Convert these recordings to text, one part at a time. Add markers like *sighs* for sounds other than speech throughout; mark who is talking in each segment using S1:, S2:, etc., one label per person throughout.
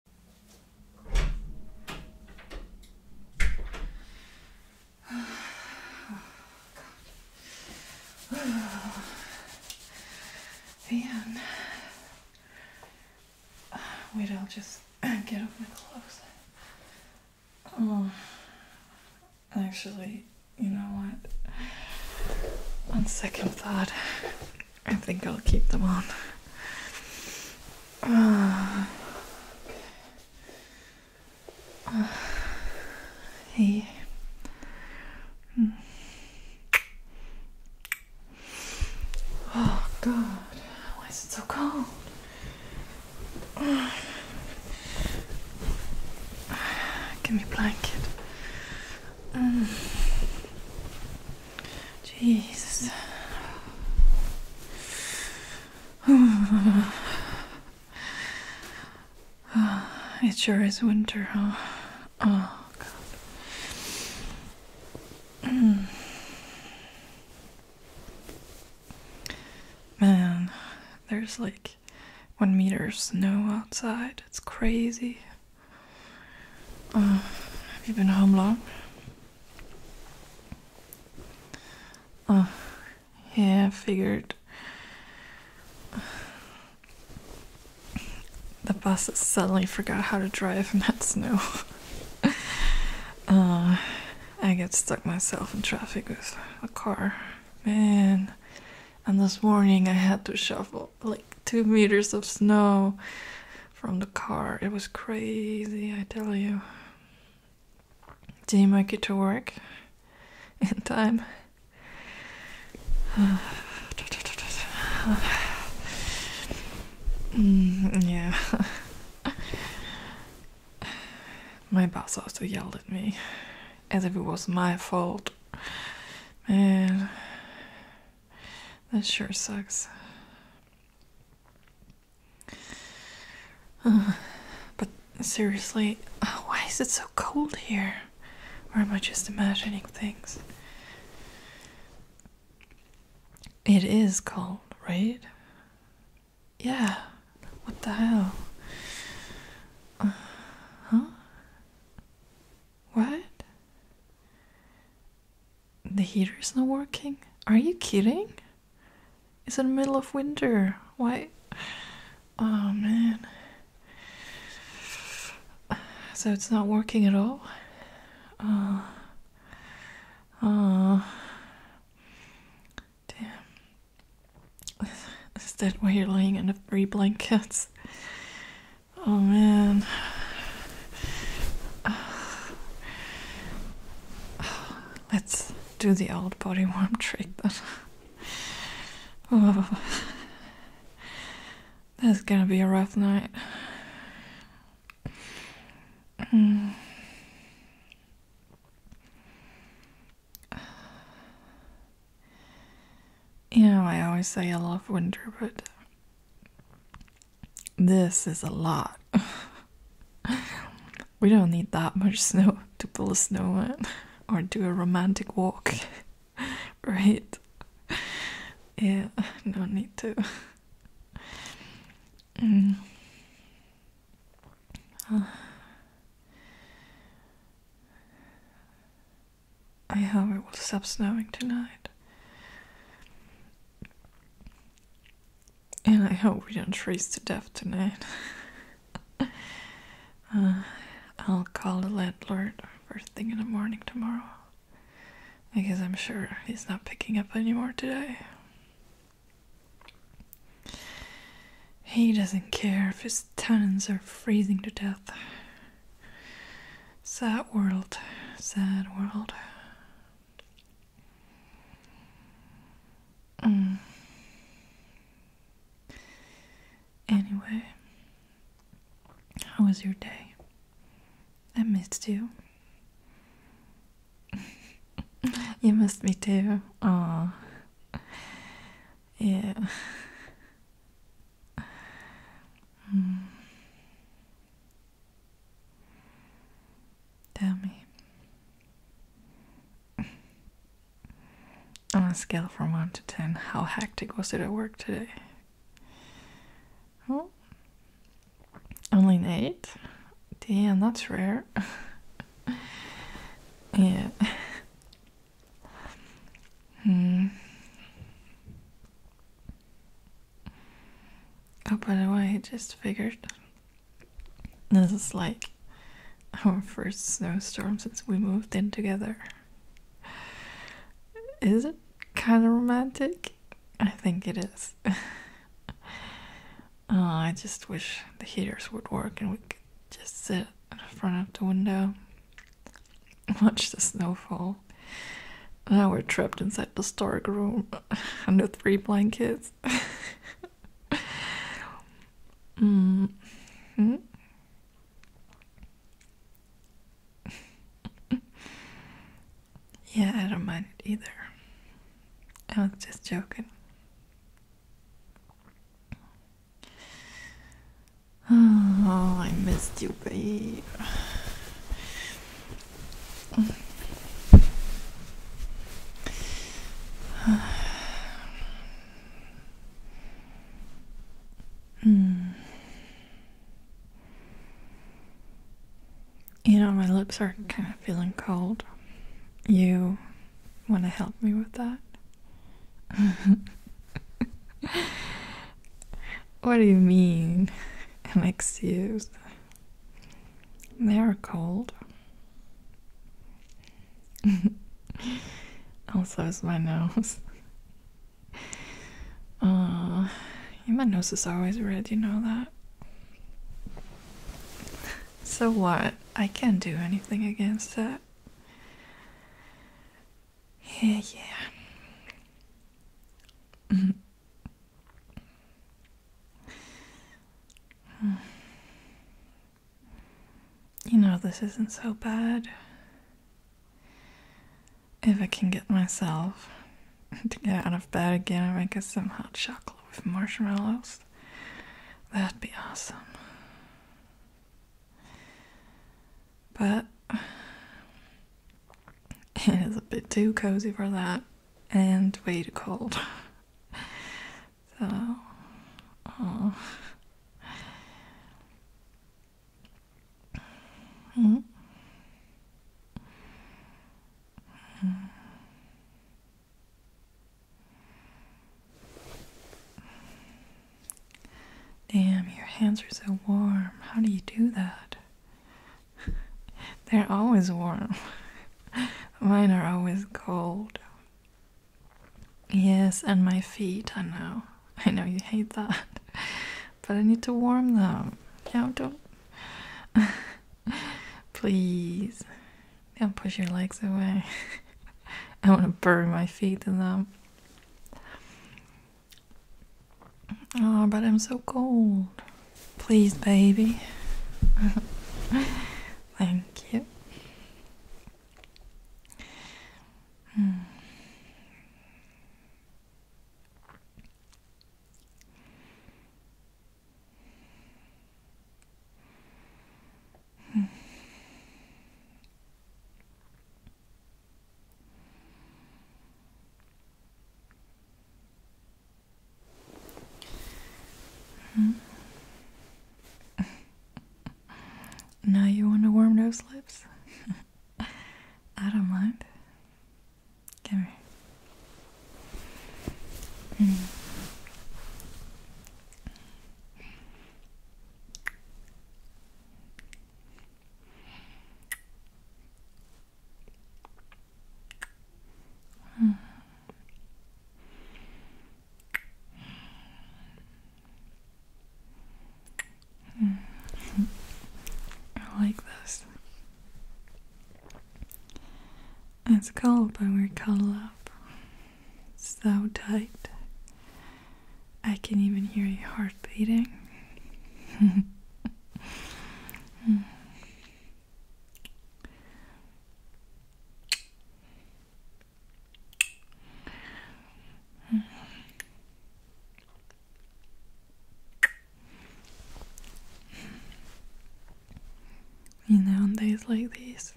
S1: *sighs* Man. *sighs* Wait, I'll just *clears throat* get off my clothes. Oh. Actually, you know what? On second thought. I think I'll keep them on. *sighs* hey. Hmm. Oh God! Why is it so cold? *sighs* give me blanket. Mm. Jesus. *sighs* it sure is winter, huh? Oh, God. *clears throat* Man, there's like one meter of snow outside. It's crazy have you been home long? Oh, yeah, I figured. The bus suddenly forgot how to drive in that snow. Uh, I get stuck myself in traffic with a car. Man, and this morning I had to shovel like two meters of snow from the car. It was crazy, I tell you. Damn, I get to work *laughs* in time. *sighs* Mm, yeah. *laughs* my boss also yelled at me as if it was my fault. Man, that sure sucks. but seriously, *sighs* why is it so cold here? Or am I just imagining things? It is cold, right? Yeah. What the hell? huh? What? The heater is not working? Are you kidding? It's in the middle of winter. Why? Oh man. So it's not working at all? Oh. Oh. Damn. Is that why you're laying under three blankets? Oh man. let's do the old body warm trick then. oh. That's gonna be a rough night. You know, I always say I love winter, but this is a lot. *laughs* we don't need that much snow to build a snowman or do a romantic walk, *laughs* right? Yeah, no need to. Mm. I hope it will stop snowing tonight. And I hope we don't freeze to death tonight. *laughs* Uh, I'll call the landlord first thing in the morning tomorrow. Because I'm sure he's not picking up anymore today. He doesn't care if his these are freezing to death. Sad world, sad world. Mm. Anyway, how was your day? I missed you. *laughs* you missed me too. Aww. Yeah. Hmm. Tell me. On a scale from 1 to 10, how hectic was it at work today? Oh, only an 8? Damn, that's rare. *laughs* yeah. Hmm. Oh, by the way, I just figured this is like our first snowstorm since we moved in together. Is it kind of romantic? I think it is. *laughs* Uh, I just wish the heaters would work and we could just sit front of the window, *laughs* watch the snow fall. Now we're trapped inside the dark room *laughs* under three blankets. *laughs* mm -hmm. yeah, I don't mind it either. I was just joking. Oh, I missed you, babe. *sighs* Hmm. You know, my lips are kind of feeling cold. You want to help me with that? *laughs* what do you mean? An excuse? They are cold. *laughs* also is my nose. Uh, *laughs* my nose is always red, you know that? So what? I can't do anything against that. Yeah, yeah. Mm. You know, this isn't so bad. If I can get myself *laughs* to get out of bed again and make us some hot chocolate with marshmallows. That'd be awesome. But *sighs* it is a bit too cozy for that and way too cold. *laughs* So, oh. Damn, your hands are so warm. How do you do that? *laughs* They're always warm. *laughs* Mine are always cold. Yes, and my feet, I know. *laughs* I know you hate that. But I need to warm them. Yeah, don't *laughs* Please don't push your legs away. *laughs* I want to burn my feet in them. Oh, but I'm so cold. Please, baby. *laughs* Thank you. Hmm. Hmm. Hmm. *laughs* now you want to warm those lips? *laughs* I don't mind. Come here. Mm. Mm. *laughs* I like this. It's cold, but we're cuddled up. So tight. I can even hear your heart beating. *laughs* You know, on days like these,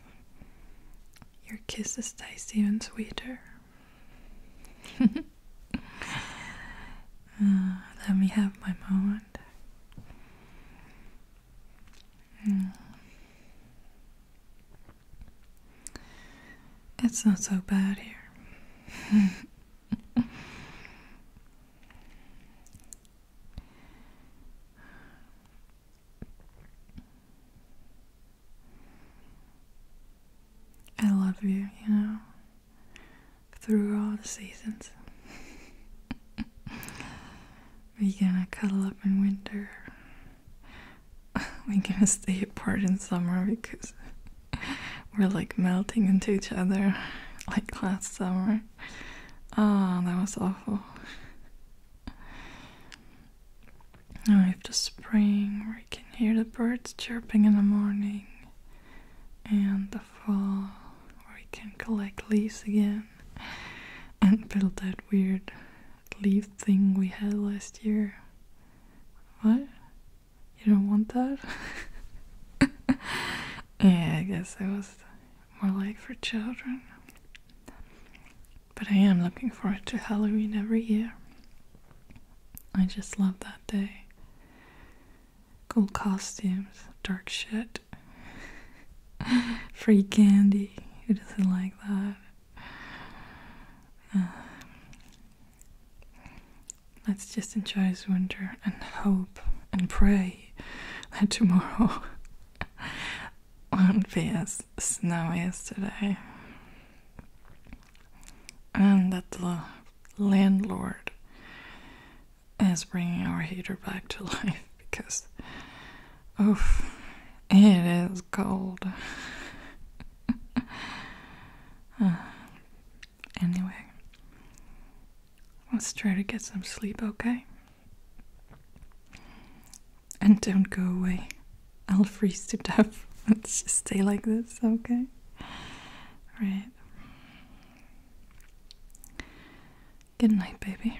S1: your kisses taste even sweeter. *laughs* Uh, let me have my moment. Hmm. It's not so bad here. *laughs* I love you, you know, through all the seasons. We're gonna cuddle up in winter. *laughs* We're gonna stay apart in summer because *laughs* We're like melting into each other *laughs* like last summer. Oh, that was awful. Now we have the spring where you can hear the birds chirping in the morning, and the fall where you can collect leaves again and build that weird leaf thing we had last year. What? You don't want that? *laughs* yeah, I guess I was more like for children. But I am looking forward to Halloween every year. I just love that day. Cool costumes, dark shit, *laughs* free candy. Who doesn't like that? Uh, Let's just enjoy this winter and hope and pray that tomorrow *laughs* won't be as snowy as today. And that the landlord is bringing our heater back to *laughs* life because, oof, it is cold. *laughs* Uh, Anyway, let's try to get some sleep, okay? And don't go away. I'll freeze to death. *laughs* Let's stay like this, okay? Right. Good night, baby.